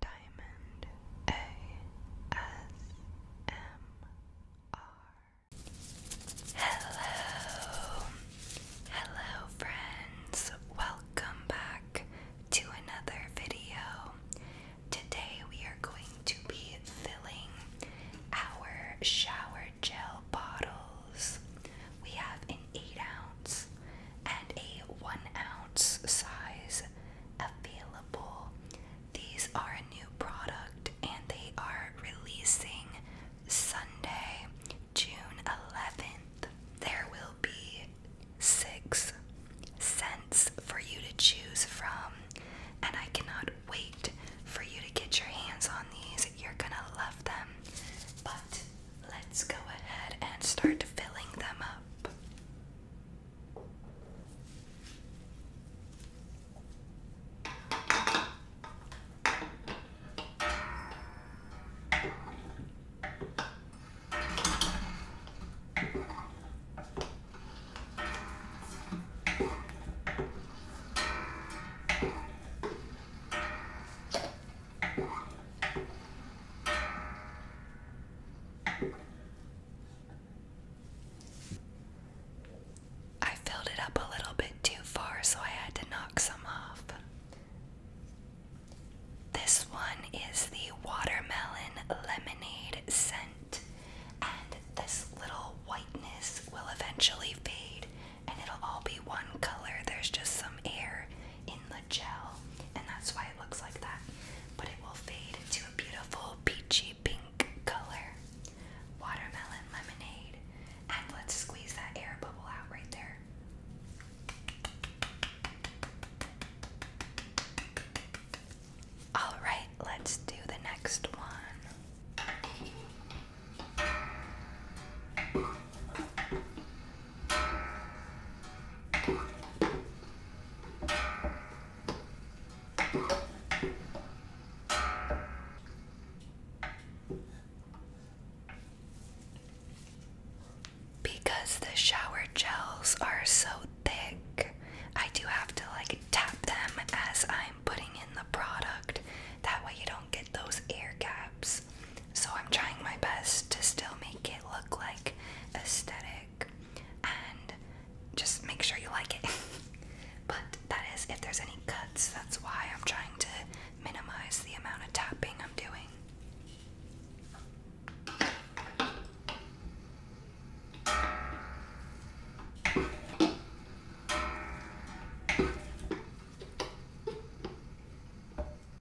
Diamond ASMR. Hello, hello, friends. Welcome back to another video. Today we are going to be filling our shower gel bottles. We have an 8 ounce and a one ounce size available. These are a new product and they are releasing Sunday, June 11th. There will be six scents for you to choose from, and I cannot wait for you to get your hands on these. You're gonna love them. But Let's go ahead and start filling them up. I filled it up a little bit too far, so I had to knock some off. This one is the watermelon lemonade scent, and this little whiteness will eventually fade and it'll all be one color. There's just some air in the gel, and that's why it looks like that. But it will fade into a beautiful peachy pink color. Watermelon lemonade. And let's squeeze that air bubble out right there. Alright, let's do the next one. Because the shower gels are so thick, I do have to like tap them as I'm putting in the product. That way, you don't get those air gaps. So I'm trying my best to still make it look like aesthetic and just make sure you like it. but that is if there's any cuts, that's why I'm trying to minimize the amount of tapping I'm doing.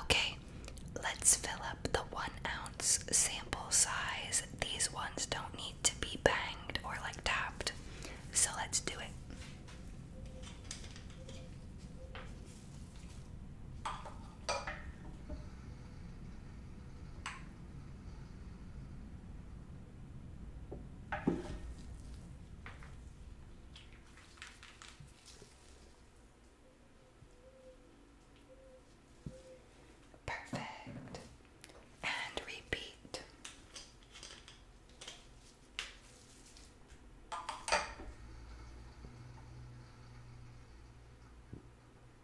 Okay, let's fill up the one ounce sample size. These ones don't need to be banged or like tapped, so let's do it. Perfect. And repeat.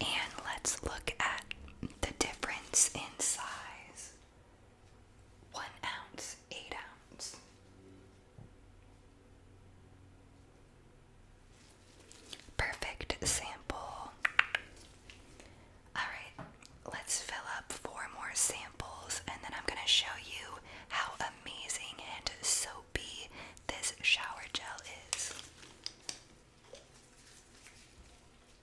And let's look at the difference in size one ounce, eight ounces. Perfect sample. Alright, let's fill up four more samples and then I'm going to show you how amazing and soapy this shower gel is.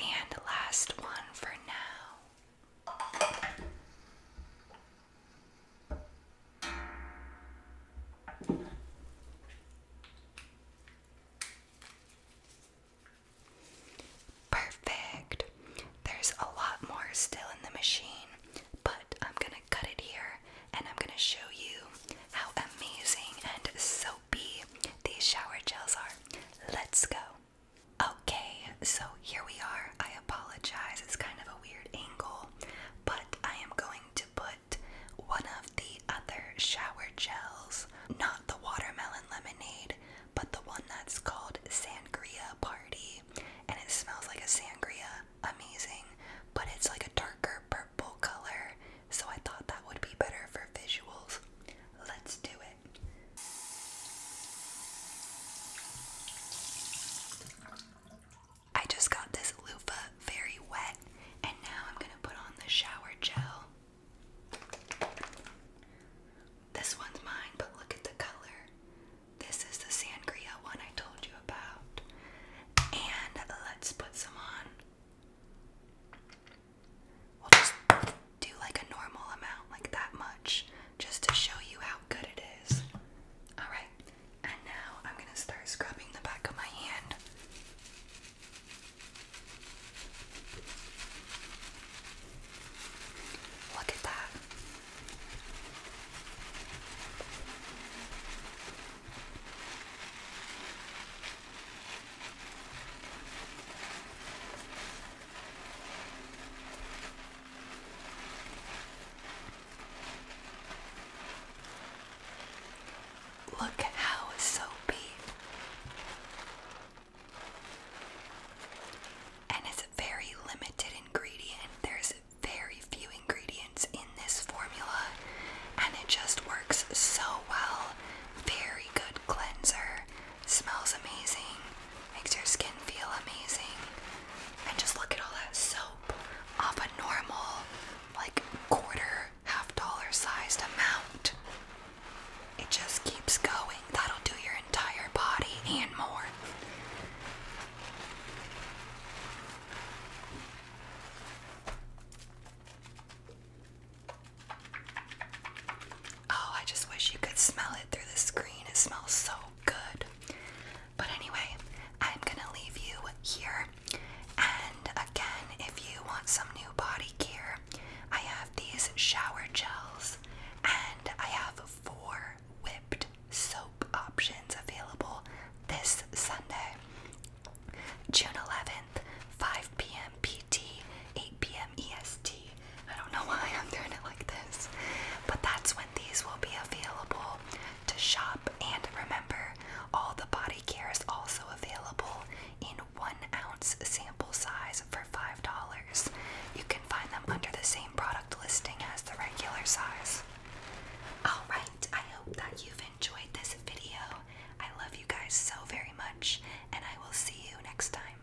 And last one for now. Perfect. There's a lot more still in the machine, but I'm gonna cut it here and I'm gonna show you how amazing and soapy these shower gels are. Let's go. Okay, so here we are. I apologize, it's kind of a weird angle, but I am going to put one of the other shower gels, not the watermelon lemonade, but the one that's called Sangria Party. And it smells like a sangria, amazing, but it's like a darker purple color, so I thought that would be better for visuals. Let's do it. I just got this loofah very wet, and now I'm going to put on the shower gel. This one's mine, but look at the color. This is the sangria one I told you about. And let's put some on. We'll just do like a normal amount, like that much, just to show you how good it is. Alright, and now I'm going to start scrubbing the back of my hand. Look at that. Look how soapy. And it's a very limited ingredient. There's very few ingredients in this formula, and it just works so well. Very good cleanser, Smells amazing, makes your skin feel amazing. And just look at all that soap off a normal, like, quarter, half dollar sized amount. It just keeps going. That'll do your entire body and more. Oh, I just wish you could smell it through the screen. It smells so good. But anyway, I'm gonna leave you here. And again, if you want some new body gear, I have these shower gels and I have four whipped soap options available this Sunday, June 11th, 5 p.m. PT, 8 p.m. EST. I don't know why I'm doing it like this, but that's when these will be available to shop. And remember, all the body care is also available in one ounce sample size for $5. You can find them under the same product listing as the regular size. Alright, I hope that you've enjoyed this video. I love you guys so very much, and I will see you next time.